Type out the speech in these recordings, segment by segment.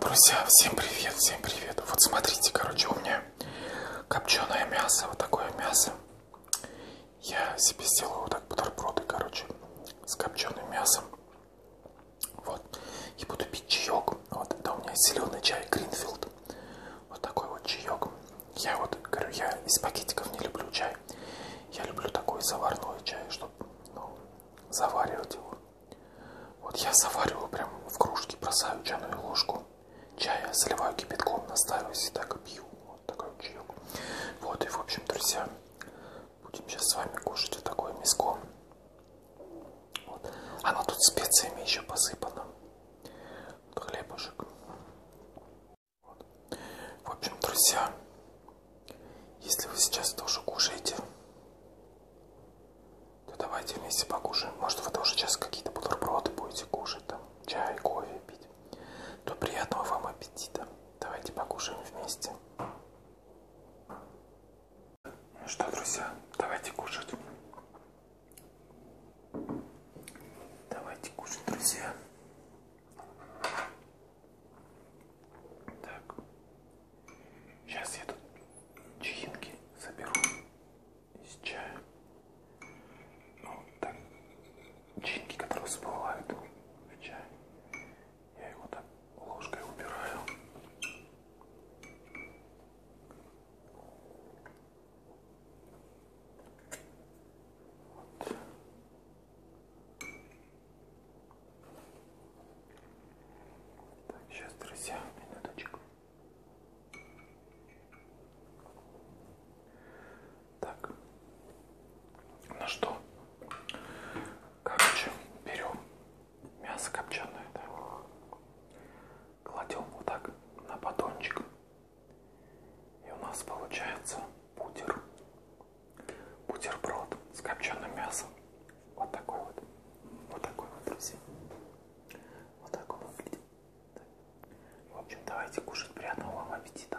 Друзья, всем привет, всем привет. Вот смотрите, короче, у меня копченое мясо, вот такое мясо. Я себе сделаю вот так бутерброды, короче, с копченым мясом. Вот. И буду пить чаек. Вот, это у меня зеленый чай Гринфилд. Вот такой вот чаек. Я вот, говорю, я из пакетиков не люблю чай. Я люблю такой заварной чай, чтобы ну, заваривать его. Вот я завариваю прям в кружке, бросаю чайную ложку чая, заливаю кипятком, настаиваюсь и так пью. Вот такой чаек. Вот и в общем, друзья, будем сейчас с вами кушать вот такое миско. Вот. Она тут специями еще посыпана. Вот хлебушек. Вот. В общем, друзья, если вы сейчас тоже кушаете, то давайте вместе покушаем. Может, вы тоже сейчас какие-то бутерброды будете кушать, там, чай, кофе пить. То приятного вам аппетита. Давайте покушаем вместе. Ну что, друзья, давайте кушать. Давайте кушать, друзья. Так, Сейчас я тут чаинки соберу из чая. Ну, так, чаинки, которые всплывают в чай, я его так ложкой убираю. Вот. Так, сейчас, друзья, минуточку. Так, ну что, короче, берем мясо копченое, да? кладем вот так на батончик, и у нас получается пудер бутерброд с копченым мясом. Вот такой вот. Вот такой вот, друзья. Вот такой вот выглядит. В общем, давайте кушать. Приятного вам аппетита.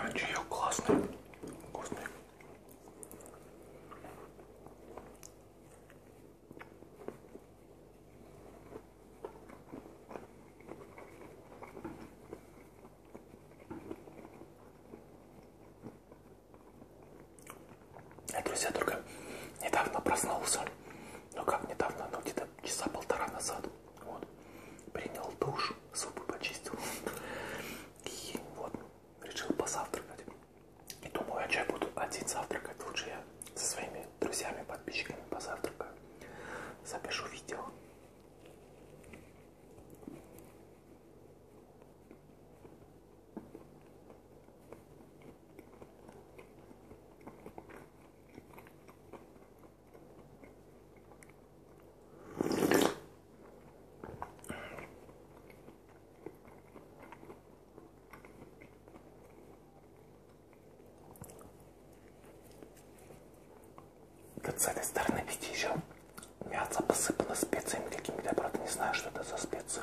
А чаек классный, вкусный. Я, друзья, только недавно проснулся. Ну как недавно, ну где-то часа полтора назад. Вот. Принял душ, зубы почистил. И вот, решил позавтракать. И думаю, а что я буду один завтракать? Лучше я со своими друзьями, подписчиками позавтракаю. Запишу видео. Вот с этой стороны, видите, еще мясо посыпано специями какими-то, правда, не знаю, что это за специи.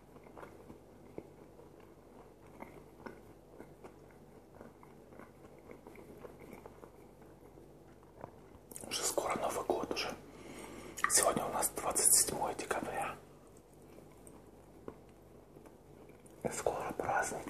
Уже скоро Новый год уже. Сегодня у нас 27 декабря. Скоро праздник.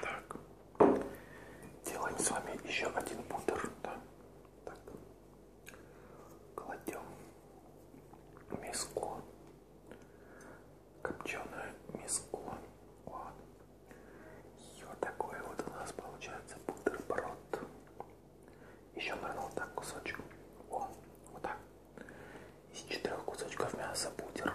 Так, делаем с вами еще один пудр, да? Так, кладем миску копченую миску. Вот. И вот такой вот у нас получается бутерброд. Еще нырнул так кусочек. О, вот так. Из четырех кусочков мяса бутер.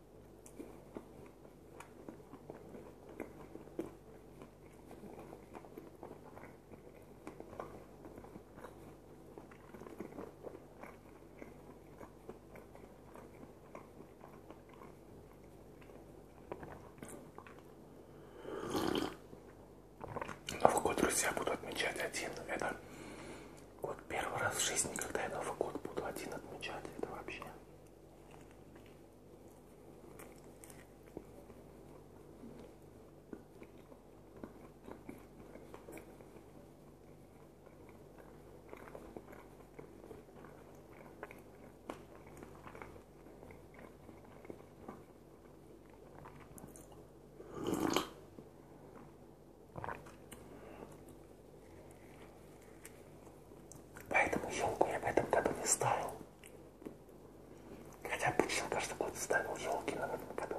Новый ну, год, друзья, буду отмечать один. Это вот первый раз в жизни, когда я Новый год буду один отмечать, это вообще. Поэтому елку я в этом году не ставил. Хотя обычно каждый год ставил елки, но в этом году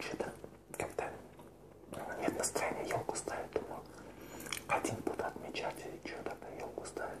что-то как-то нет настроения елку ставить, думаю, один буду отмечать и что тогда елку ставить.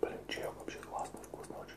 Блин, чай вообще классный, вкусный очень.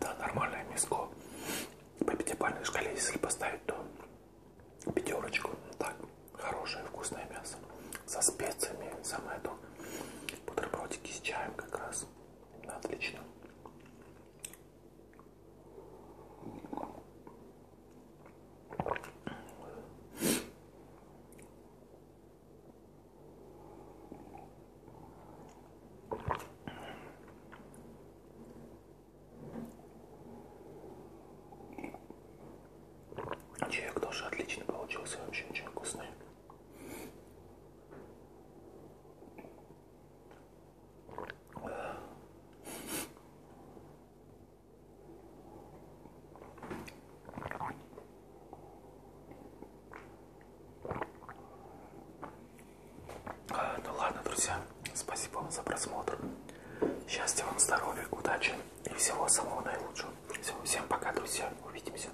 Да, нормальное миско. По пятибалльной шкале, если поставить, то пятерочку. Так, хорошее вкусное мясо. Со специями, самое то. Бутербродики с чаем как раз. Отлично. Чаек тоже отлично получился, вообще очень вкусный. А, ну ладно, друзья, спасибо вам за просмотр. Счастья вам, здоровья, удачи и всего самого наилучшего. Все, всем пока, друзья. Увидимся.